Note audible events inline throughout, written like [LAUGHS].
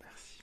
Merci.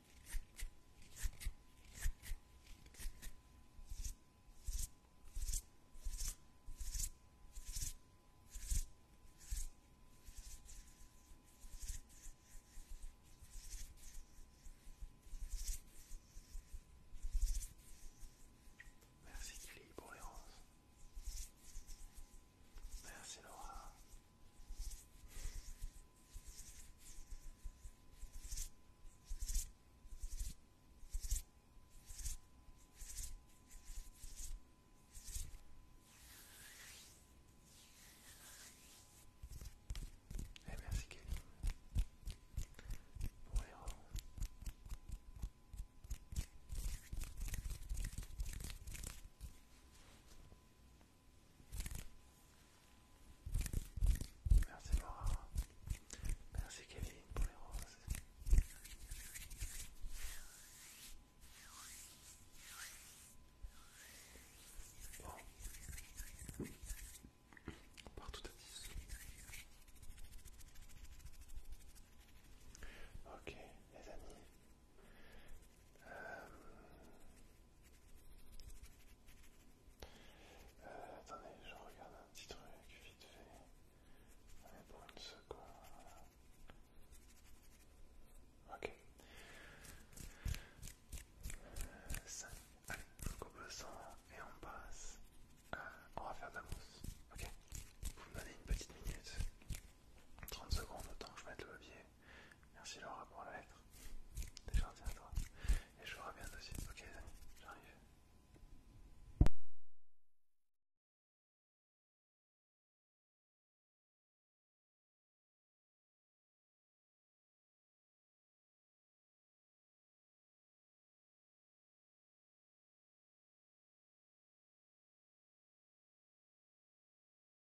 Merci Clé pour les roses. Merci Laura. Et eh, merci pour les Merci Laura. Merci Kevin pour les roses. Bon. Partout à 10. Ok, les amis. Euh, euh, attendez, je regarde un petit truc vite fait. est pour une seconde. Ok. 5. Euh, allez, on coupe le sang et on passe. on va faire de la mousse. Ok. Vous me donnez une petite minute. 30 secondes, autant que je mette le levier. Merci Laura pour la lettre. T'es gentil à toi. Et je bien aussi. Ok les amis, j'arrive.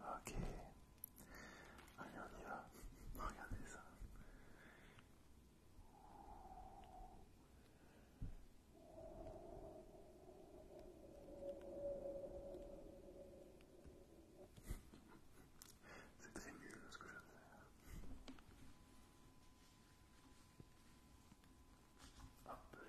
Ok. Allez, on y va. [LAUGHS] Regardez ça. [LAUGHS] C'est très nul ce que je fais. Appelez. faire.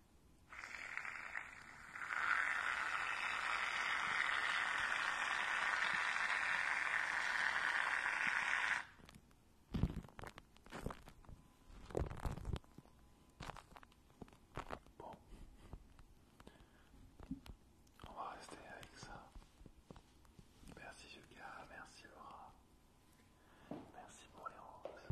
Bon, on va rester avec ça. Merci Yuka, merci Laura, merci pour les roses.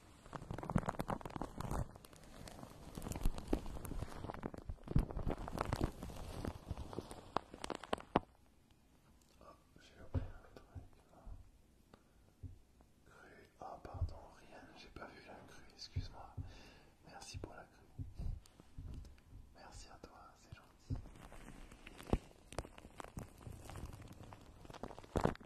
Oh, j'ai ouvert un truc. Crue. oh, pardon, rien. j'ai pas vu la crue, excuse-moi. Merci pour la crue. Merci à toi, c'est gentil.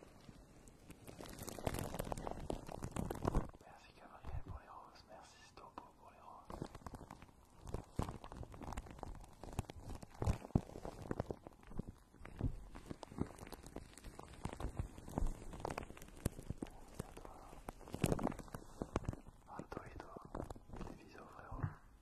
Merci Gabriel pour les roses, merci Stopo pour les roses. Merci à toi. Alto toi, des bisous frérot.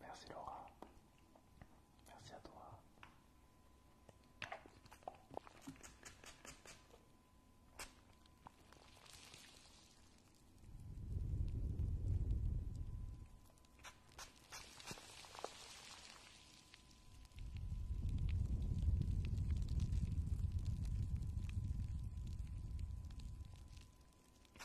Merci Laura. Merci à toi.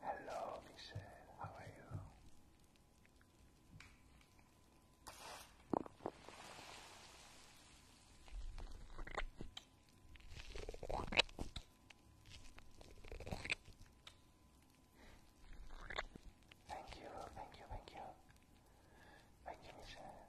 Hello, Michelle, how are you? Thank you, thank you, thank you. Thank you, Michelle.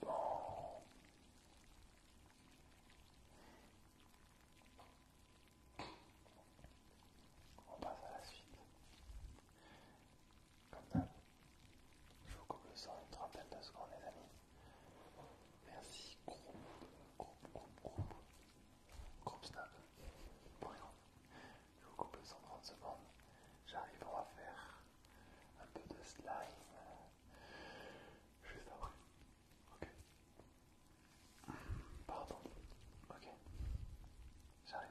Bon. On passe à la suite. Comme ça, je vous coupe le son une trentaine de secondes les amis. Merci, groupe, groupe, groupe, groupe. Groupe Snap. exemple, Je vous coupe 130 30 secondes. J'arrive, à faire un peu de slime. Euh, juste après. Ok. Pardon. Ok. J'arrive.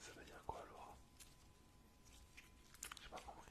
Ça veut dire quoi, Laura J'ai pas compris.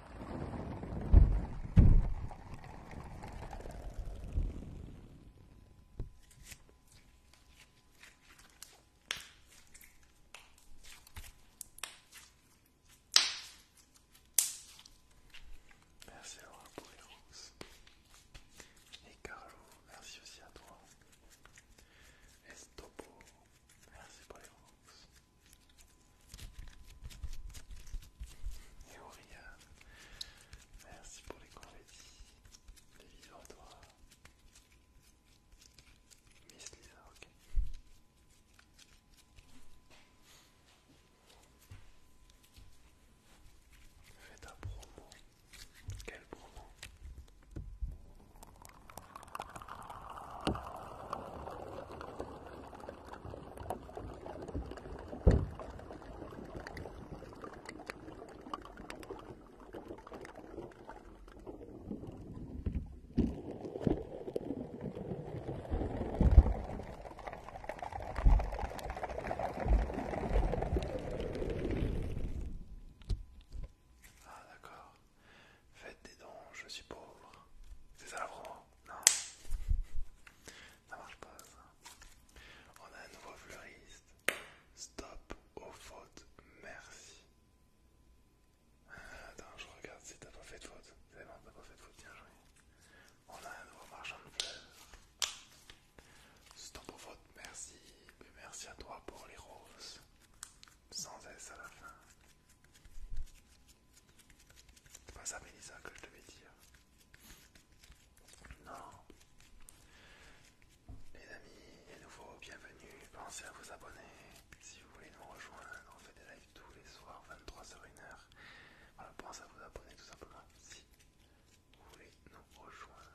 Merci Laura pour les roses. Et Carlo, merci aussi à toi. Estopo, merci pour les roses. Et Auria, merci pour les confettis, les toi, Miss Lisa, ok. Fais ta promo. Quelle promo ah d'accord. Faites des dons, je suis pauvre. C'est ça vraiment Non. Ça marche pas ça. On a un nouveau fleuriste. Stop aux fautes, merci. Ah, attends, je regarde si t'as pas fait de faute. C'est bon, t'as pas fait de faute, bien joué. On a un nouveau marchand de fleurs. Stop aux fautes, merci. Mais merci à toi pour les roses. Sans S à la fin. C'est pas ça, Mélissa, que je devais dire. Non. Les amis, et nouveau, bienvenue. Pensez à vous abonner si vous voulez nous rejoindre. On fait des lives tous les soirs, 23h1h. pensez à vous abonner tout simplement si vous voulez nous rejoindre.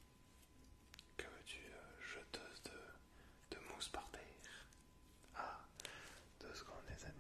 que veux tu euh, jeteuse de, de mousse par terre. Ah, deux secondes les amis.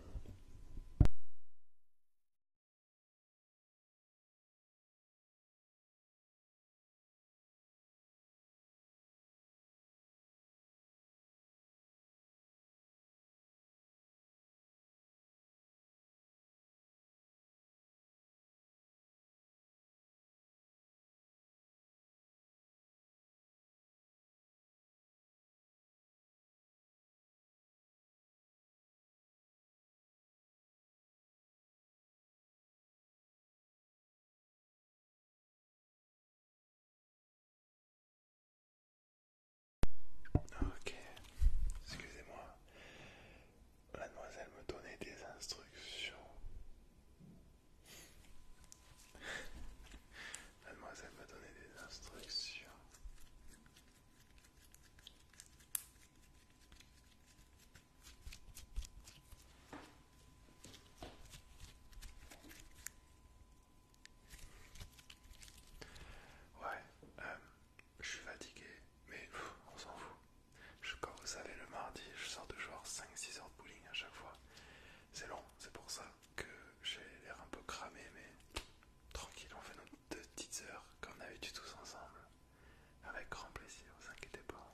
Ok, excusez-moi, la me donnait des instructions. Mademoiselle me donnait des instructions. Ouais, euh, je suis fatigué, mais on s'en fout. Je, comme vous savez, le mardi, je sors de genre 5-6 heures de bowling à chaque fois. C'est long, c'est pour ça que j'ai l'air un peu cramé, mais tranquille, on fait nos deux petites heures comme d'habitude tous ensemble. Avec grand plaisir, vous inquiétez pas.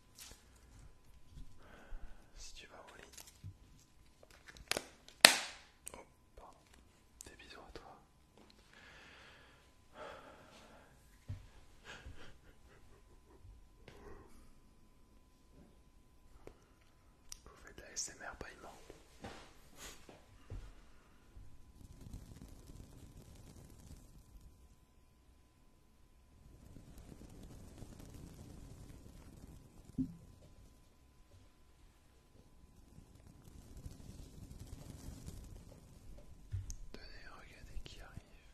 Si tu vas au lit. Oh, pardon. Des bisous à toi. Vous faites de la SMR paiement. Tenez, regardez qui arrive.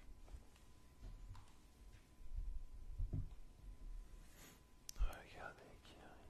Regardez qui arrive.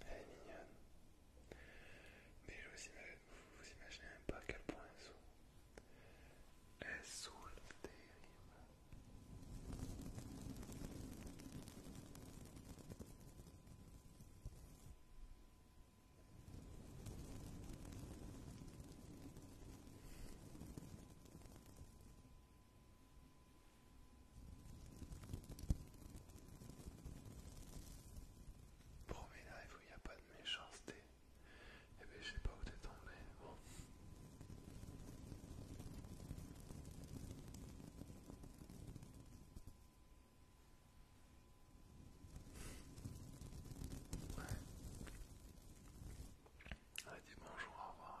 Elle est mignonne. Mais vous, imaginez même pas à quel point elle saoule. Elle saoule terrible. Premier où il n'y a pas de méchanceté. Et eh bien, je sais pas où t'es tombé. Bon. Allez, ah, dis bonjour, au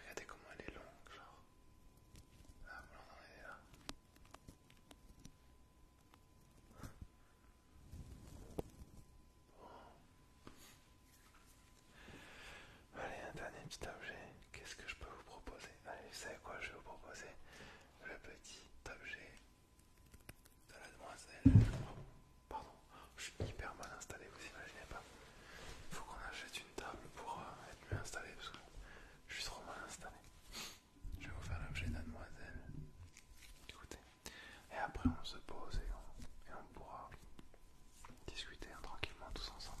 regardez comment elle est longue, genre. Ah, voilà, on est là. Allez, un dernier petit objet. Qu'est-ce que je peux vous proposer Allez, vous savez quoi je vais vous proposer Le petit objet de la demoiselle. Pardon, je suis hyper mal installé, vous imaginez pas. Faut qu'on achète une table pour euh, être mieux installé parce que je suis trop mal installé. Je vais vous faire l'objet de demoiselle. Écoutez, et après on se pose et on, pourra discuter hein, tranquillement tous ensemble.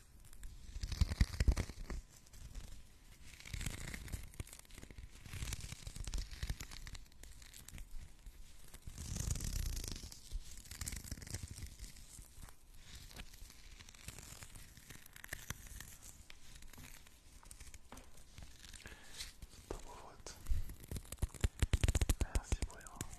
Merci pour les rangs.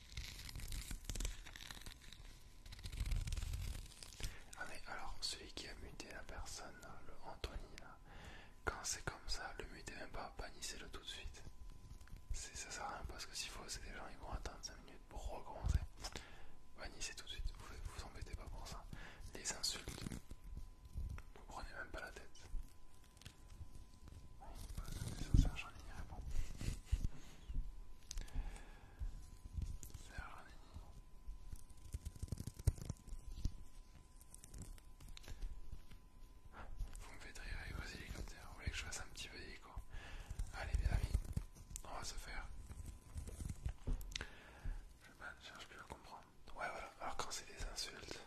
Ah mais alors celui qui a muté la personne, hein, le Anthony là, quand c'est comme ça, le mutez même pas, bannissez-le tout de suite. Ça sert à rien parce que s'il faut c'est des gens ils vont attendre 5 minutes pour recommencer. Bannissez tout de suite, vous vous embêtez pas pour ça. Les insultes, vous prenez même pas la tête. Vous me faites rire avec vos hélicoptères, vous voulez que je fasse un petit peu d'hélico Allez mes amis, on va se faire. Je ne cherche plus à comprendre. Ouais voilà, alors quand c'est des insultes,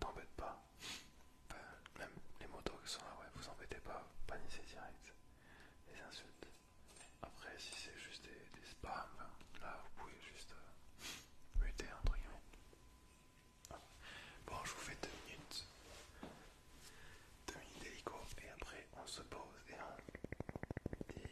t'embête pas. même les motos qui sont là, ouais, vous embêtez pas, panissez direct les insultes. Après, si c'est juste des, spams, hein, là vous pouvez juste euh, muter entre guillemets. Bon, je vous fais deux minutes, deux minutes d'hélico, et après on se pose et on discute.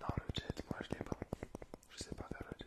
Dans le jet, moi je l'ai pas. Je sais pas faire le jet.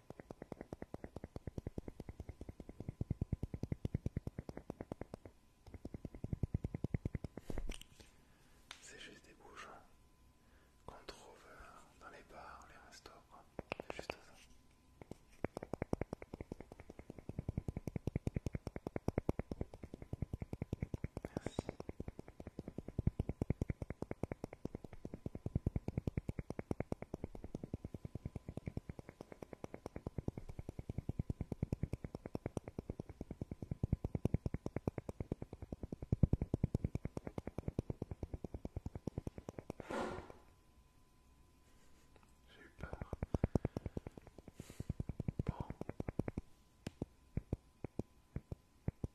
C'est juste des bouchons hein, qu'on trouve euh, dans les bars, les restos, quoi. C'est juste ça. Merci. J'ai eu peur.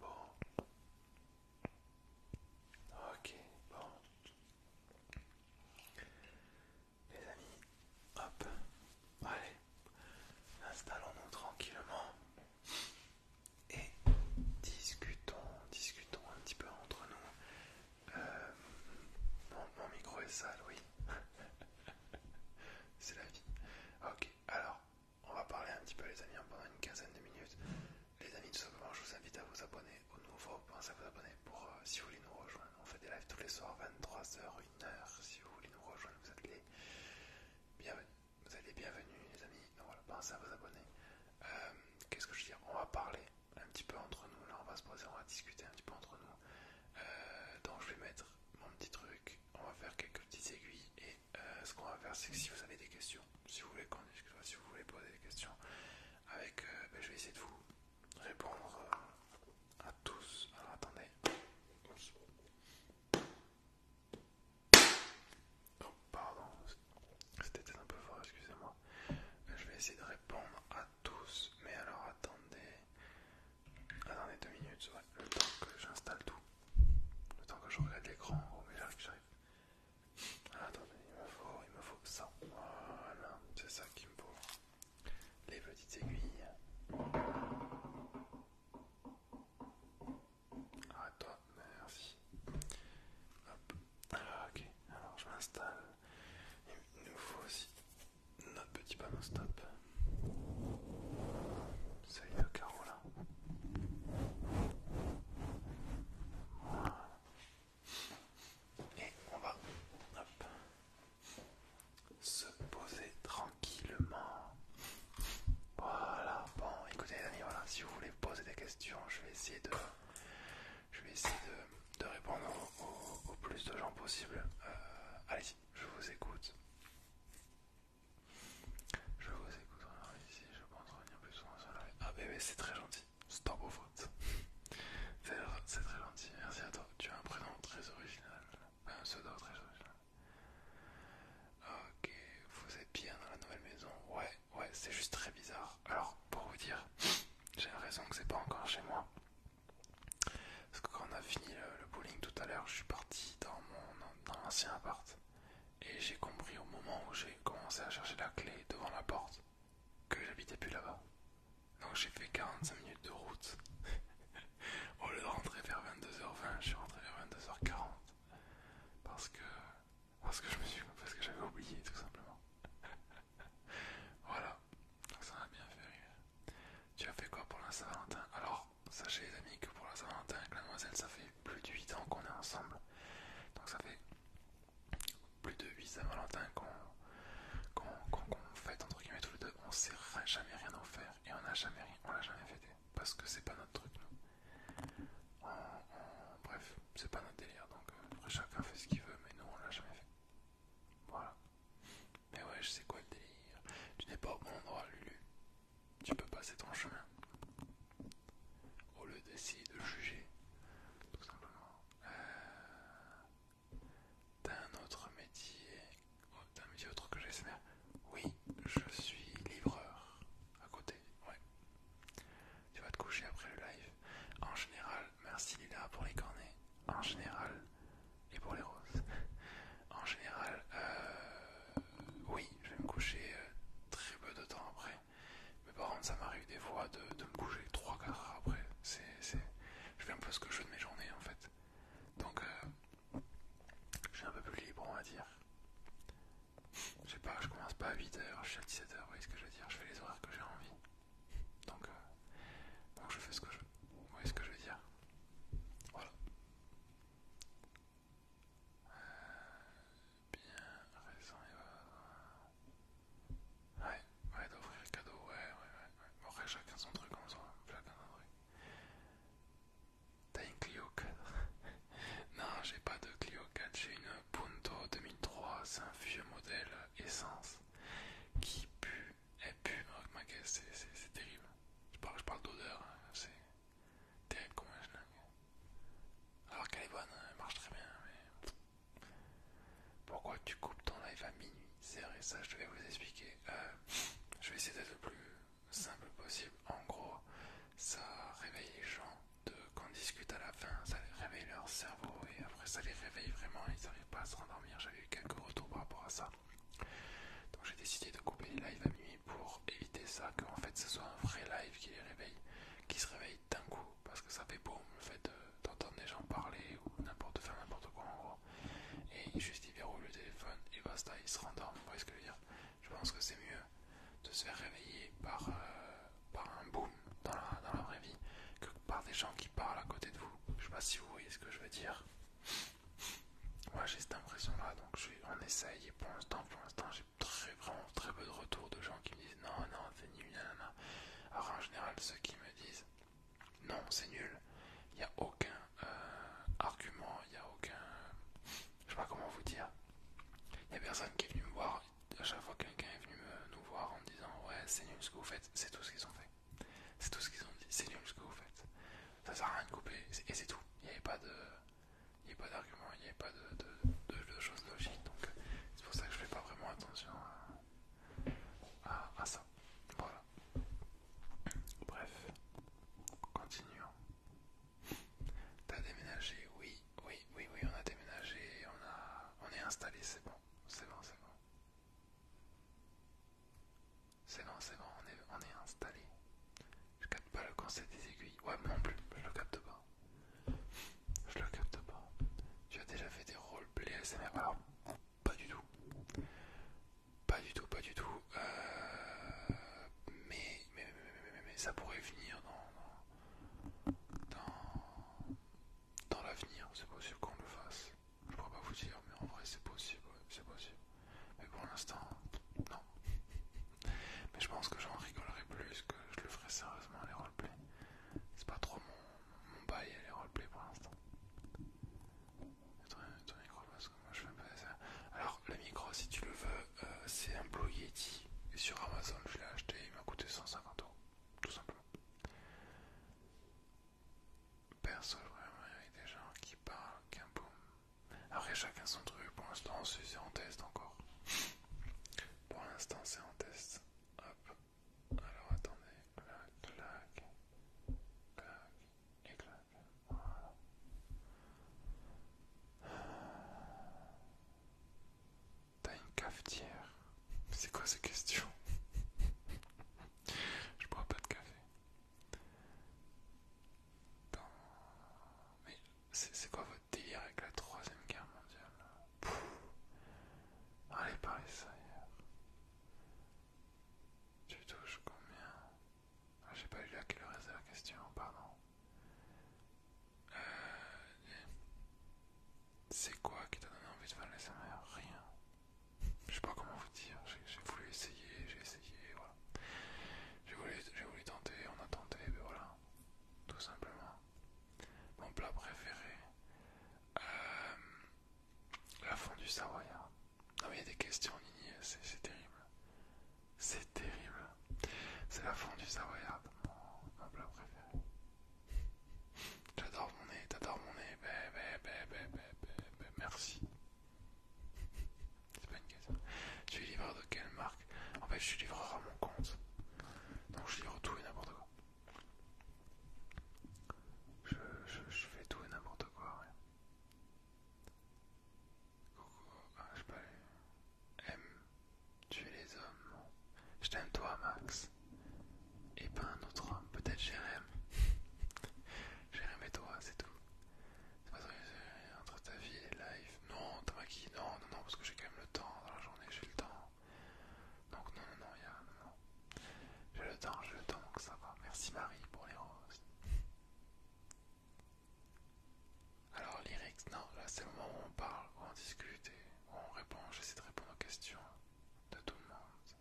Bon. Ok, bon. Les amis, hop, allez, installons-nous tranquillement et discutons, discutons un petit peu entre nous. Euh, mon, micro est sale, oui. [LAUGHS] C'est la vie. Ok, alors on va parler un petit peu les amis pendant une quinzaine de minutes. Les amis de simplement, je vous invite à vous abonner au nouveau. Pensez à vous abonner pour euh, si vous voulez nous rejoindre. On fait des lives tous les soirs, 23h, 1h. Si vous voulez nous rejoindre, vous êtes les bienvenus. Vous êtes les les amis. voilà, pensez à vous abonner. Euh, qu'est-ce que je veux dire On va parler un petit peu entre nous, là on va se poser, on va discuter un petit peu entre nous. Euh, donc je vais mettre mon petit truc, on va faire quelques petites aiguilles et euh, ce qu'on va faire c'est que si vous avez des questions, si vous voulez qu'on discute, si vous voulez poser des questions, avec, ben, je vais essayer de vous répondre à tous. Alors attendez. Oh, pardon, c'était un peu fort, excusez-moi. Euh, je vais essayer de répondre à tous, mais alors attendez. Attendez deux minutes, ouais. le temps que j'installe tout. Le temps que je regarde l'écran, oh, mais j'arrive, j'arrive. attendez, il me faut, il me faut ça. Voilà, c'est ça qu'il me faut. Les petites aiguilles. arrête toi, merci. Hop. Alors, ok, alors je m'installe. Il nous faut aussi notre petit panneau stop. Ça y carreau là. Et on va se poser tranquillement. Voilà, bon écoutez les amis, voilà, si vous voulez poser des questions, je vais essayer de je vais essayer de, répondre au, plus de gens possible. Euh, allez-y, je vous écoute. Je vous écoute, je pense revenir plus souvent sur la Ah bébé, eh, eh, c'est très gentil, c'est ton beau faute. [LAUGHS] c'est très gentil, merci à toi. Tu as un prénom très original, un pseudo très original. Ok, vous êtes bien dans la nouvelle maison Ouais, ouais, c'est juste très bizarre. Alors, pour vous dire, [SNIFFS] j'ai raison que c'est pas encore chez moi. Parce que quand on a fini le, bowling tout à l'heure, je suis parti dans mon dans l'ancien appart. Et j'ai compris au moment où j'ai commencé à chercher la clé devant la porte que j'habitais plus là-bas. Donc j'ai fait 45 minutes de route. [LAUGHS] Au lieu de rentrer vers 22h20, je suis rentré vers 22h40. Parce que parce que je me suis parce que j'avais oublié tout simplement. [LAUGHS] voilà, donc ça m'a bien fait rire. Tu as fait quoi pour la Saint-Valentin Alors, sachez les amis que pour la Saint-Valentin avec la demoiselle, ça fait plus de 8 ans qu'on est ensemble. Donc ça fait plus de 8 Saint-Valentin qu'on qu'on, fête entre guillemets tous les deux. On ne s'est jamais rien offert et on n'a jamais on l'a jamais fêté parce que c'est pas notre truc nous bref, c'est pas notre délire, donc après euh, chacun fait ce qu'il veut, mais nous on l'a jamais fait. Voilà. Mais ouais, je sais quoi le délire. Tu n'es pas au bon endroit, Lulu. Tu peux passer ton chemin. Au lieu d'essayer de juger, tout simplement. Euh, t'as un autre métier. Oh, T'as un métier autre que j'espère. Oui, je suis livreur. À côté, ouais. Tu vas te coucher après le live. En général, merci Lila pour les cornets. En général, et pour les roses. en général, euh, oui, je vais me coucher euh, très peu de temps après. Mais par contre, ça m'arrive des fois de, me coucher 3-4 heures après. c'est Je fais un peu ce que je veux de mes journées en fait. Donc, j'ai euh, je suis un peu plus libre, on va dire. Je sais pas, je commence pas à 8h, je suis à 17h, vous voyez ce que je veux dire, je fais les horaires que j'ai envie. Donc, euh, donc je fais ce que je veux. Vous voyez ce que je veux dire Voilà. Euh, bien, raison et Ouais, ouais, d'offrir cadeau, ouais, ouais, ouais. ouais. Bon, après, chacun son truc en soi, chacun son truc. T'as une Clio 4 [LAUGHS] Non, j'ai pas de Clio 4, j'ai une Punto 2003, c'est un vieux modèle essence qui pue, elle pue, oh, ma caisse, c'est terrible. Je parle, je parle d'odeur, hein, c'est terrible comme un Alors qu'elle est bonne, hein, elle marche très bien, mais. Pourquoi tu coupes ton live à minuit C'est vrai, ça je vais vous expliquer. Euh, je vais essayer d'être le plus simple possible. En gros, ça réveille les gens qu'on discute à la fin, ça les réveille leur cerveau et après ça les réveille vraiment, ils n'arrivent pas à se rendormir. J'avais eu quelques retours par rapport à ça. Donc j'ai décidé de couper les lives à minuit pour éviter ça, qu'en fait ce soit un vrai live qui les réveille, qui se réveille d'un coup, parce que ça fait boum le fait d'entendre des gens parler ou n'importe faire n'importe quoi en gros. Et juste ils verrouillent le téléphone et basta, ils se rendorment, vous voyez ce que je veux dire. Je pense que c'est mieux de se faire réveiller par... Euh, par un boom dans la, vraie vie que par des gens qui parlent à côté de vous. Je sais pas si vous voyez ce que je veux dire. Moi j'ai cette impression-là, donc je, on essaye. Et pour l'instant, pour l'instant, j'ai très vraiment très peu de retours de gens qui me disent non, non, c'est nul, Alors en général, ceux qui me disent non, c'est nul, il n'y a aucun euh, argument, il n'y a aucun. Je sais pas comment vous dire. Il n'y a personne qui est venu me voir à chaque fois quelqu'un est venu nous voir en disant ouais c'est nul ce que vous faites, c'est tout ce qu'ils ont fait. C'est tout ce qu'ils ont dit, c'est nul ce que vous faites. Ça sert à rien de couper, et c'est tout. Il n'y avait pas de. pas d'argument, il n'y avait pas de, de, choses logiques, donc euh, c'est pour ça que je fais pas vraiment attention à, à ça. Voilà. Bref, continuons. T'as déménagé, oui, oui, oui, oui, on a déménagé, on, a, on est installé, c'est bon, c'est bon, c'est bon. C'est bon, c'est bon, on est, on est installé. Je capte pas le concept des aiguilles. Ouais, moi non plus, je le capte pas. Je le capte pas. Tu as déjà fait des roleplays ASMR Alors, pas du tout. Pas du tout, pas du tout. Euh, mais, mais, mais, mais, mais, mais, ça pourrait venir dans, dans dans l'avenir, c'est possible qu'on le fasse. Je pourrais pas vous dire, mais en vrai, c'est possible, c'est possible. Mais pour l'instant, non. [LAUGHS] mais je pense que j'en rigolerai plus que je le ferai sérieusement les roleplay C'est pas trop mon, bail les roleplays pour l'instant. micro, parce que moi je fais pas ça. Alors, le micro, si tu le veux, euh, c'est un Blue Yeti. Et sur Amazon, je l'ai acheté, il m'a coûté 150 euros tout simplement. personne vraiment, il y a des gens qui parlent qu'un boom. Après, chacun son truc. Pour l'instant, c'est en test encore. Pour l'instant, c'est en test. Hop. Alors, attendez. Clac, clac. Clac et clac. T'as une cafetière C'est quoi ces questions Je bois pas de café. Mais c'est quoi votre délire avec la troisième guerre mondiale Allez parlez ça Tu touches combien ah, J'ai pas eu à quelle heure la question, pardon. Euh, c'est quoi qui t'a donné envie de faire l'ASMR Rien. Je sais pas comment vous dire, j'ai voulu essayer, j'ai essayé, voilà. J'ai voulu, tenter, on a tenté, mais ben voilà. Tout simplement. Mon plat préféré. Euh, la fondue savoyarde. Non mais il y a des questions, Nini, c'est terrible. C'est terrible. C'est la fondue savoyarde, savoyard mon plat préféré. J'adore mon nez, t'adores mon nez, bébé bébé bébé, merci. C'est pas une question. Tu es livreur de quelle marque En fait, je suis livreur à mon compte. Donc je livre tout et n'importe quoi. Je, je, fais tout et n'importe quoi. Coucou, ah, je pas. M tu es les hommes. Je t'aime toi, Max. Et pas un autre homme, peut-être Jérém. [LAUGHS] Jérém et toi, c'est tout. C'est pas entre ta vie et life. Non, t'as Non, non, non, parce que j'ai quand même le temps. Dans la journée, j'ai le temps. Donc non, non, non, Non, J'ai le temps, j'ai le temps, donc ça va. Merci Marie pour les roses. Alors lyrics, non, là c'est le moment où on parle, où on discute on répond, j'essaie de répondre aux questions de tout le monde.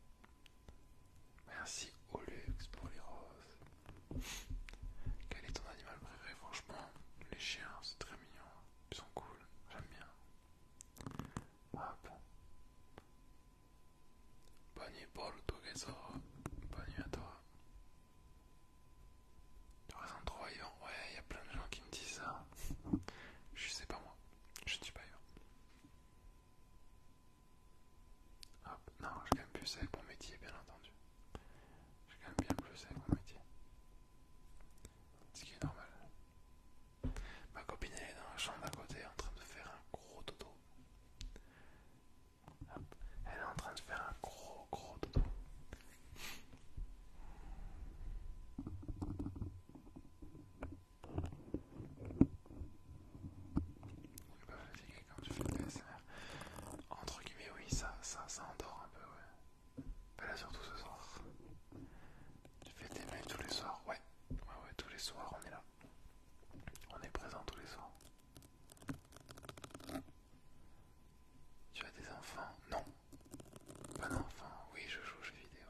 Merci au luxe pour les roses. Quel est ton animal préféré Franchement, les chiens, c'est très mignon. Ils sont cool, j'aime bien. Hop. Bonne nuit pour Bonne nuit à toi. Tu restes en ouais, il y a plein de gens qui me disent ça. Je sais pas moi, je suis pas Hop, non, je quand même plus avec mon métier, bien entendu. je quand même bien plus avec mon métier. Ce qui est normal. Ma copine elle est dans la chambre d'à côté en train de faire un gros dodo. Hop. Elle est en train de faire un gros gros dodo tu fais Entre guillemets, oui, ça, ça, ça endort un peu, ouais. Pas bah là, surtout ce soir. Tu fais tes mails tous les soirs, ouais. Ouais, ouais, tous les soirs, on est là. On est présent tous les soirs. Tu as des enfants Non, Bon ah enfin oui, je joue je vidéo.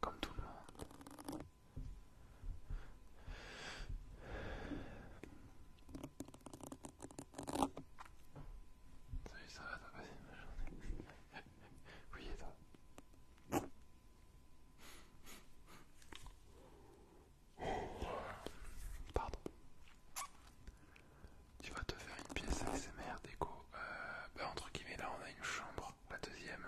Comme tout le monde. Salut, ça va, t'as passé ma journée [LAUGHS] Oui, et toi Pardon. Tu vas te faire une pièce ASMR déco. Euh, bah, entre guillemets, là on a une chambre, la deuxième,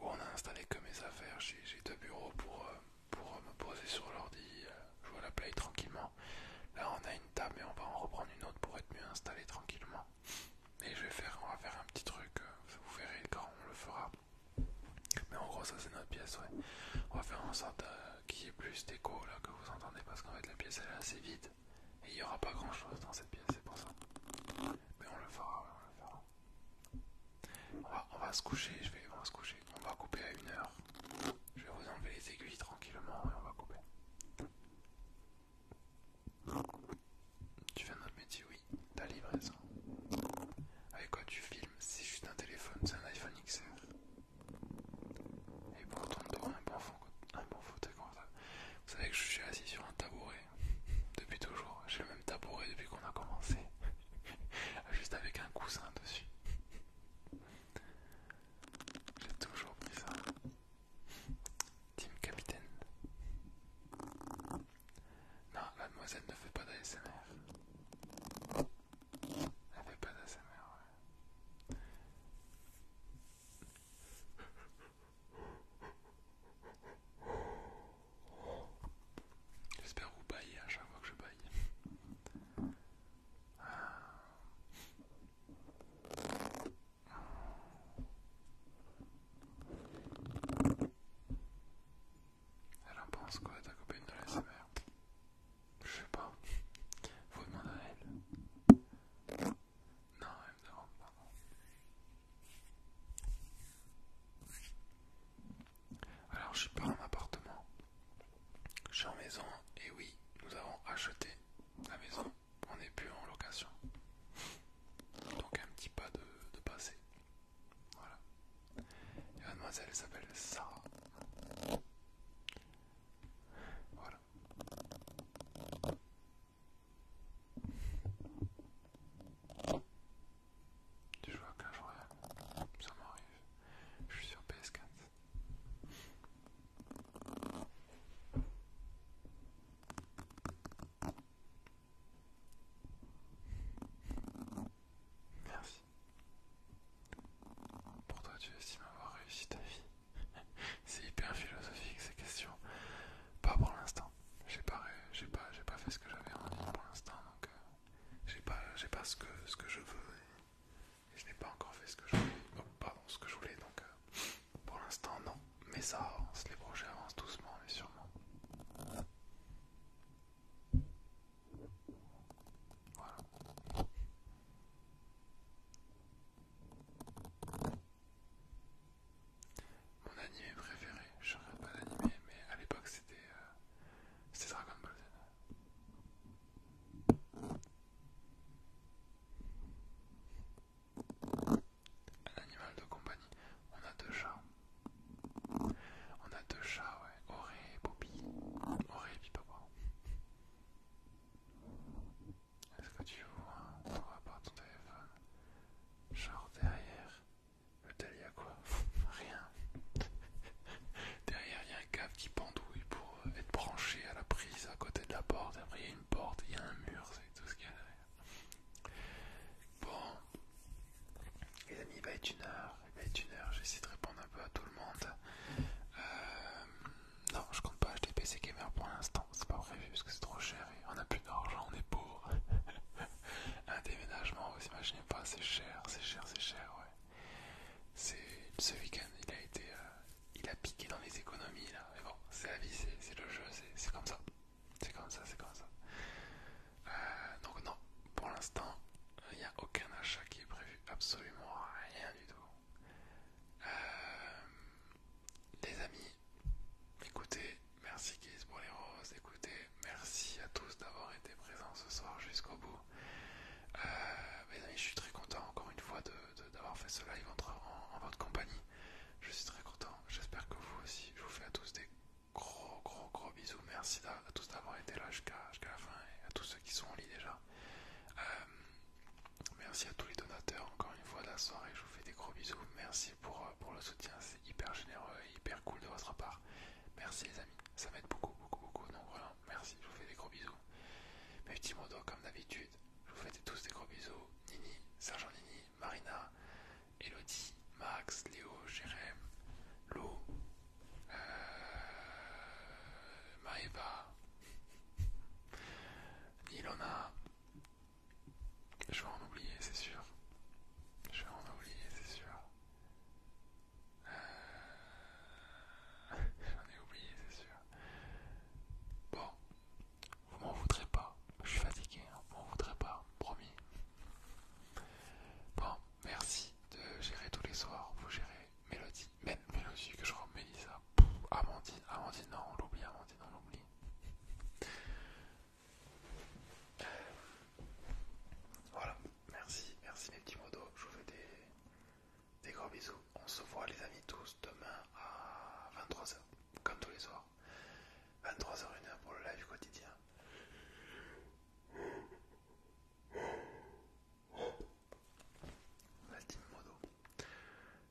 où on a installé que mes affaires. J'ai deux bureaux pour, euh, pour euh, me poser sur l'ordi, euh, jouer à la play tranquillement. Là on a une table et on va en reprendre une autre pour être mieux installé tranquillement. Et je vais faire, on va faire un petit truc, vous verrez quand on le fera. Mais en gros, ça c'est notre pièce, ouais. On va faire en sorte qui qu'il y ait plus déco là que vous entendez parce qu'en fait la pièce elle est assez vide. Et il n'y aura pas grand chose dans cette pièce, c'est pour ça. Mais on le fera, on le fera. On va, se coucher, je vais, on va se coucher. On va couper à une heure. Je vais vous enlever les aiguilles tranquillement et on va couper. Tu fais notre métier, oui. Ta livraison. Avec quoi tu filmes C'est juste un téléphone, c'est un iPhone XR. Et pourtant, ton un bon, fond, un bon vous savez que je suis assis sur un tabouret [LAUGHS] depuis toujours. J'ai le même tabouret depuis qu'on a commencé, [LAUGHS] juste avec un coussin dessus. [LAUGHS] J'ai toujours pris ça. Team Capitaine. Non, la demoiselle ne fait pas d'ASMR. Elle fait pas d'ASMR, ouais. J'espère vous bailler à chaque fois que je baille. Elle en pense quoi ta copine de la Je sais pas. Faut demander à elle. Non, elle Alors, je suis pas en appartement. Je suis en maison et oui, nous avons acheté la maison. On n'est plus en location. Donc, un petit pas de, passé. Voilà. Et mademoiselle s'appelle Sarah. Voilà. Tu joues à Clash Royale Ça m'arrive. Je suis sur PS4. Merci. Pour toi, tu estimes avoir réussi ta vie. [LAUGHS] C'est hyper philosophique ces questions. Pas pour l'instant. J'ai pas, j'ai pas, j'ai pas fait ce que j'avais envie pour l'instant, donc euh, j'ai pas, j'ai pas ce que ce que je veux. Et, je n'ai pas encore fait ce que je voulais. Oh, ce que je voulais. Donc euh, pour l'instant non. Mais ça avance. Les projets avancent doucement, mais sûrement. Voilà. Mon anime préféré, je regarde pas d'anime, mais à l'époque euh, c'était Dragon Ball Z. Un animal de compagnie. On a deux chats. On a deux chats, ouais. Auré et Bobby. Auré et Pipapa. Est-ce que tu vois Pourquoi pas ton téléphone Genre derrière le tel, il y a quoi [LAUGHS] Rien. derrière, il y a un câble qui pendouille pour euh, être branché à la prise à côté de la porte. Après, il y a une porte, il y a un mur, c'est tout ce qu'il y a derrière. Bon, les amis, il va être une heure. Il va être une heure. J'essaie de répondre un peu à tout le monde. Euh, non, je compte pas acheter PC Gamer pour l'instant, c'est pas prévu parce que c'est trop cher et on a plus d'argent, on est pauvre. [LAUGHS] Un déménagement, vous imaginez pas, c'est cher, c'est cher, c'est cher, ouais. Ce week-end, il a été. Euh, il a piqué dans les économies là, mais bon, c'est la vie, c'est le jeu, c'est comme ça. C'est comme ça, c'est comme ça. Euh, donc, non, pour l'instant, il n'y a aucun achat qui est prévu, absolument rien du tout. Euh, les amis, écoutez, merci Kiss pour les roses, écoutez, merci à tous d'avoir été présents ce soir jusqu'au bout. Euh, amis, je suis très content encore une fois d'avoir de, d'avoir fait ce live en, votre compagnie. Je suis très content, j'espère que vous aussi. Je vous fais à tous des gros gros gros bisous. Merci à, tous d'avoir été là jusqu'à la fin et à tous ceux qui sont en lit déjà. Euh, Merci à tous les donateurs, encore une fois, la soirée, je vous fais des gros bisous. Merci pour, euh, pour le soutien, c'est hyper généreux et hyper cool de votre part. Merci les amis, ça m'aide beaucoup, beaucoup, beaucoup. Donc merci, je vous fais des gros bisous. Mes petits d'ordre comme d'habitude, je vous fais tous des gros bisous. Nini, Sergent Nini, Marina, Elodie, Max, Léo, Jérém, Lou, euh, Maeva, Ilona, je vais en oublier, c'est sûr. Je vais en oublier, c'est sûr. Euh... [LAUGHS] J'en ai oublié, c'est sûr. Bon, vous m'en voudrez pas. Je suis fatigué, hein. vous m'en voudrez pas, promis. Bon, merci de gérer tous les soirs. Vous gérez Mélodie, même Mélodie que je remets ça. Avant Amandine, non, on l'oublie, Amandine, on l'oublie. voilà, merci, merci mes petits modos. Je vous fais des, gros bisous. On se voit, les amis, tous demain à 23h, comme tous les soirs. 23 h 1h pour le live quotidien. modo.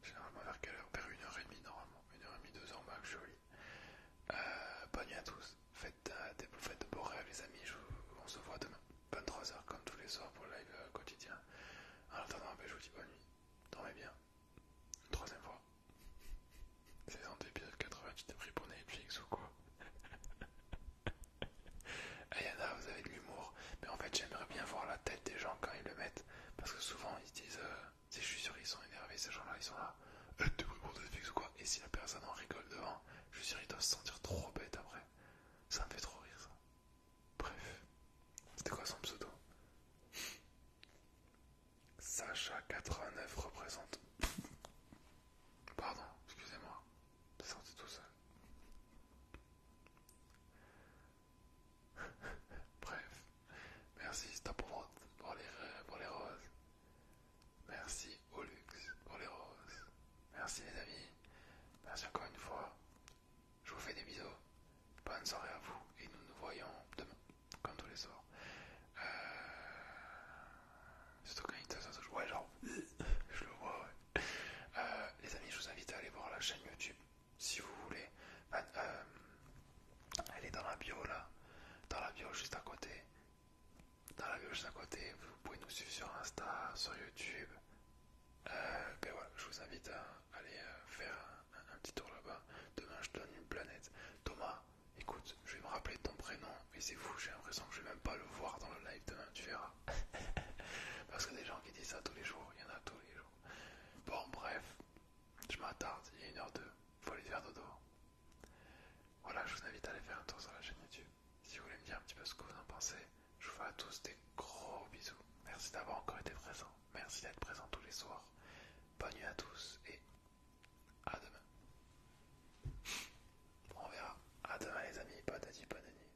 Généralement vers quelle heure Vers 1h30 normalement. 1h30, 2h max, joli euh, bonne nuit à tous. Euh, faites, de beaux rêves les amis. on se voit demain. 23h comme tous les soirs pour le live euh, quotidien. En attendant, ben, je vous dis bonne nuit. Dormez bien. Une troisième fois. Saison 2 épisode 80, tu t'es pris pour Netflix ou quoi [LAUGHS] Ayana, vous avez de l'humour, mais en fait j'aimerais bien voir la tête des gens quand ils le mettent. Parce que souvent ils disent, euh, je suis sûr ils sont énervés, ces gens-là ils sont là, de euh, bruit pour flics ou quoi, et si la personne en rigole devant, je suis sûr ils doivent se sentir trop bêtes après. Ça me fait trop rire ça. Bref, c'était quoi son pseudo Sacha89 représente. [LAUGHS] Pardon, excusez-moi, c'est tout seul. [LAUGHS] Bref, merci Stop pour les, euh, pour les roses. Merci Olux pour les roses. Merci les amis. Merci encore une fois. Je vous fais des bisous. Bonne soirée à vous et nous nous voyons demain, comme tous les soirs. Euh, surtout quand il te Ouais, genre, [LAUGHS] je le vois, ouais. Euh, les amis, je vous invite à aller voir la chaîne YouTube si vous voulez. Ben, euh, elle est dans la bio là, dans la bio juste à côté. Dans la bio juste à côté, vous pouvez nous suivre sur Insta, sur YouTube. ben voilà, je vous invite à aller euh, faire un, petit tour là-bas. Demain, je te donne une planète. Thomas, écoute, je vais me rappeler ton prénom et c'est fou, j'ai l'impression que je vais même pas le voir dans le live demain, tu verras. [LAUGHS] Parce que des gens qui disent ça tous les jours, il y en a tous les jours. Bon, bref, je m'attarde, il est une heure deux, faut aller faire dodo. Voilà, je vous invite à aller faire un tour sur la chaîne YouTube. Si vous voulez me dire un petit peu ce que vous en pensez, je vous fais à tous des gros bisous. Merci d'avoir encore été présent. Merci d'être présent tous les soirs. Bonne nuit à tous et à demain. On verra. À demain les amis, pas dit, pas nuit.